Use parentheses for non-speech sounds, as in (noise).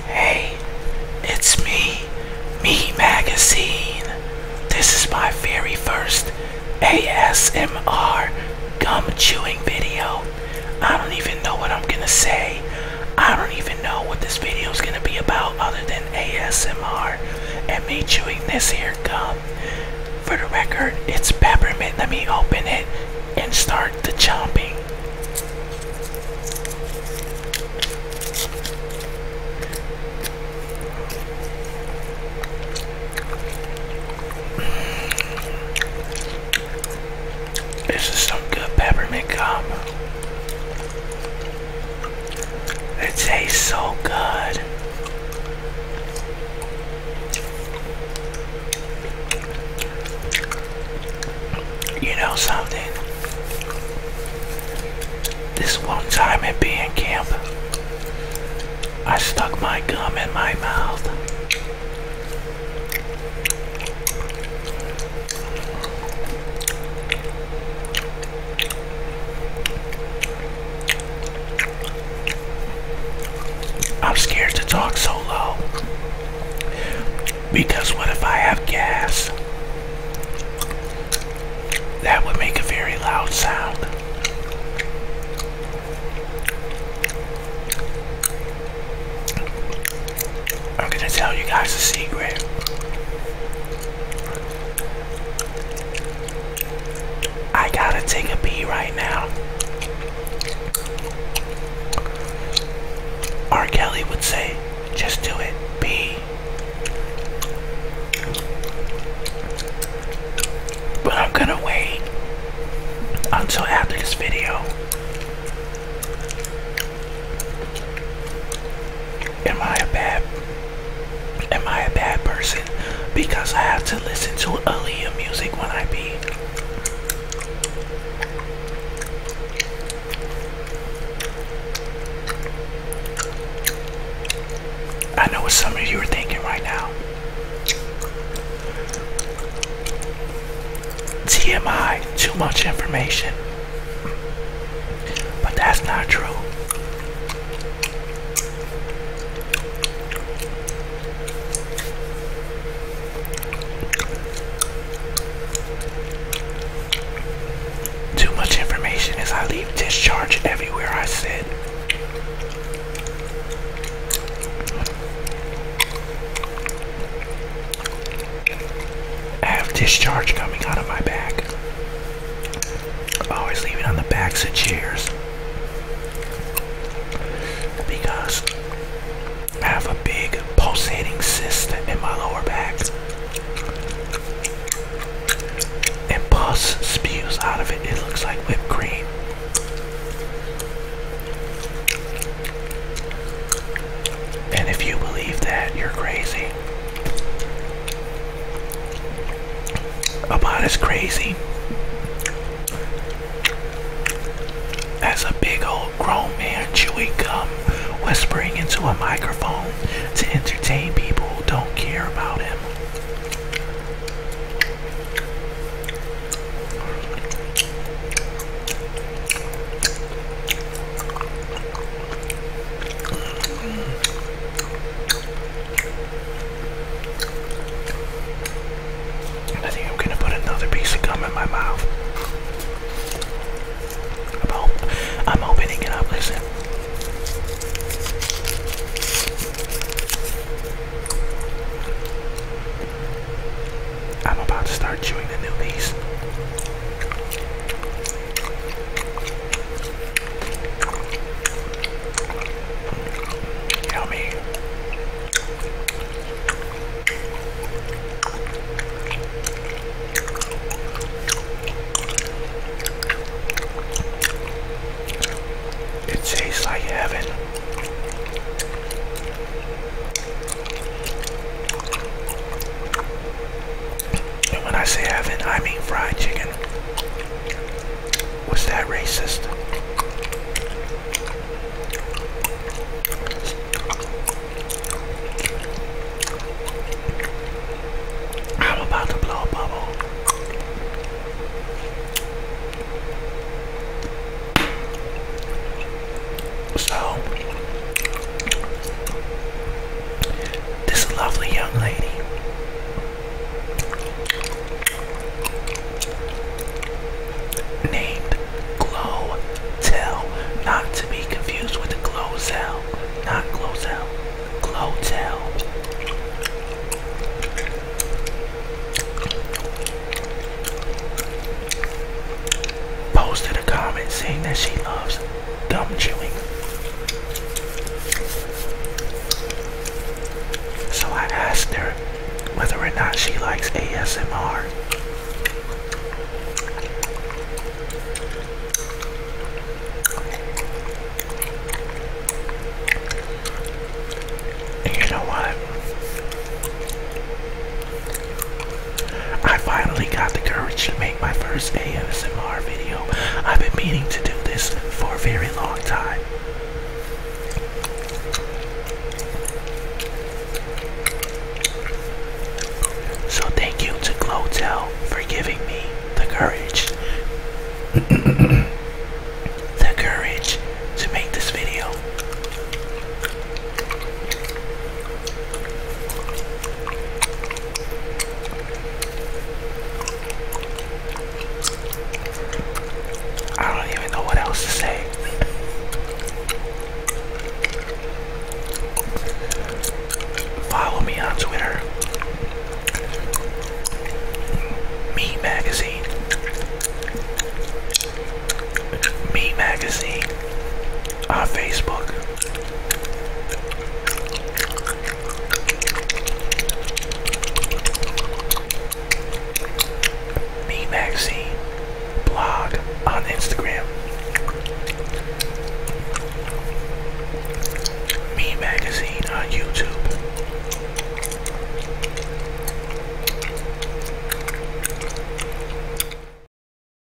Hey, it's me, Me Magazine. This is my very first ASMR gum chewing video. I don't even know what I'm gonna say. I don't even know what this video is gonna be about other than ASMR and me chewing this here gum. For the record, it's peppermint. Let me open it and start the chomping. This is some good peppermint gum. It tastes so good. You know something? This one time at being camp, I stuck my gum in my mouth. I'm scared to talk so low. Because what if I have gas? That would make a very loud sound. I'm gonna tell you guys a secret. I gotta take a pee right now. R. Kelly would say, just do it. B. But I'm gonna wait until after this video. Am I a bad am I a bad person because I have to listen to earlier music when I be I know what some of you are thinking right now. TMI, too much information. But that's not true. Too much information as I leave discharge everywhere I sit. I have discharge coming out of my back. Always leaving on the backs of chairs because I have a big pulsating cyst in my lower back. And pus spews out of it. It looks like whipped cream. And if you believe that, you're crazy. About as crazy as a big old grown man chewy gum, whispering into a microphone to entertain people who don't care about him. I think I'm gonna put another piece of gum in my mouth. I'm, hoping it can up, listen. I'm about to start chewing the new piece. Yummy. It tastes like heaven. And when I say heaven, I mean fried chicken. Was that racist? I'm about to blow a bubble. So, this lovely young lady named Glotel, not to be confused with the Glozell, not Glozell, Glotel. Posted a comment saying that she loves dumb chewing. So I asked her whether or not she likes ASMR. you know what? I finally got the courage to make my first ASMR video. I've been meaning to do this for a very long time. So thank you to Glotel for giving me the courage. (coughs) the courage to make this video. I don't even know what else to say. Follow me on Twitter. Me Magazine. Me Magazine. On Facebook. Me magazine blog on Instagram. Me Magazine on YouTube.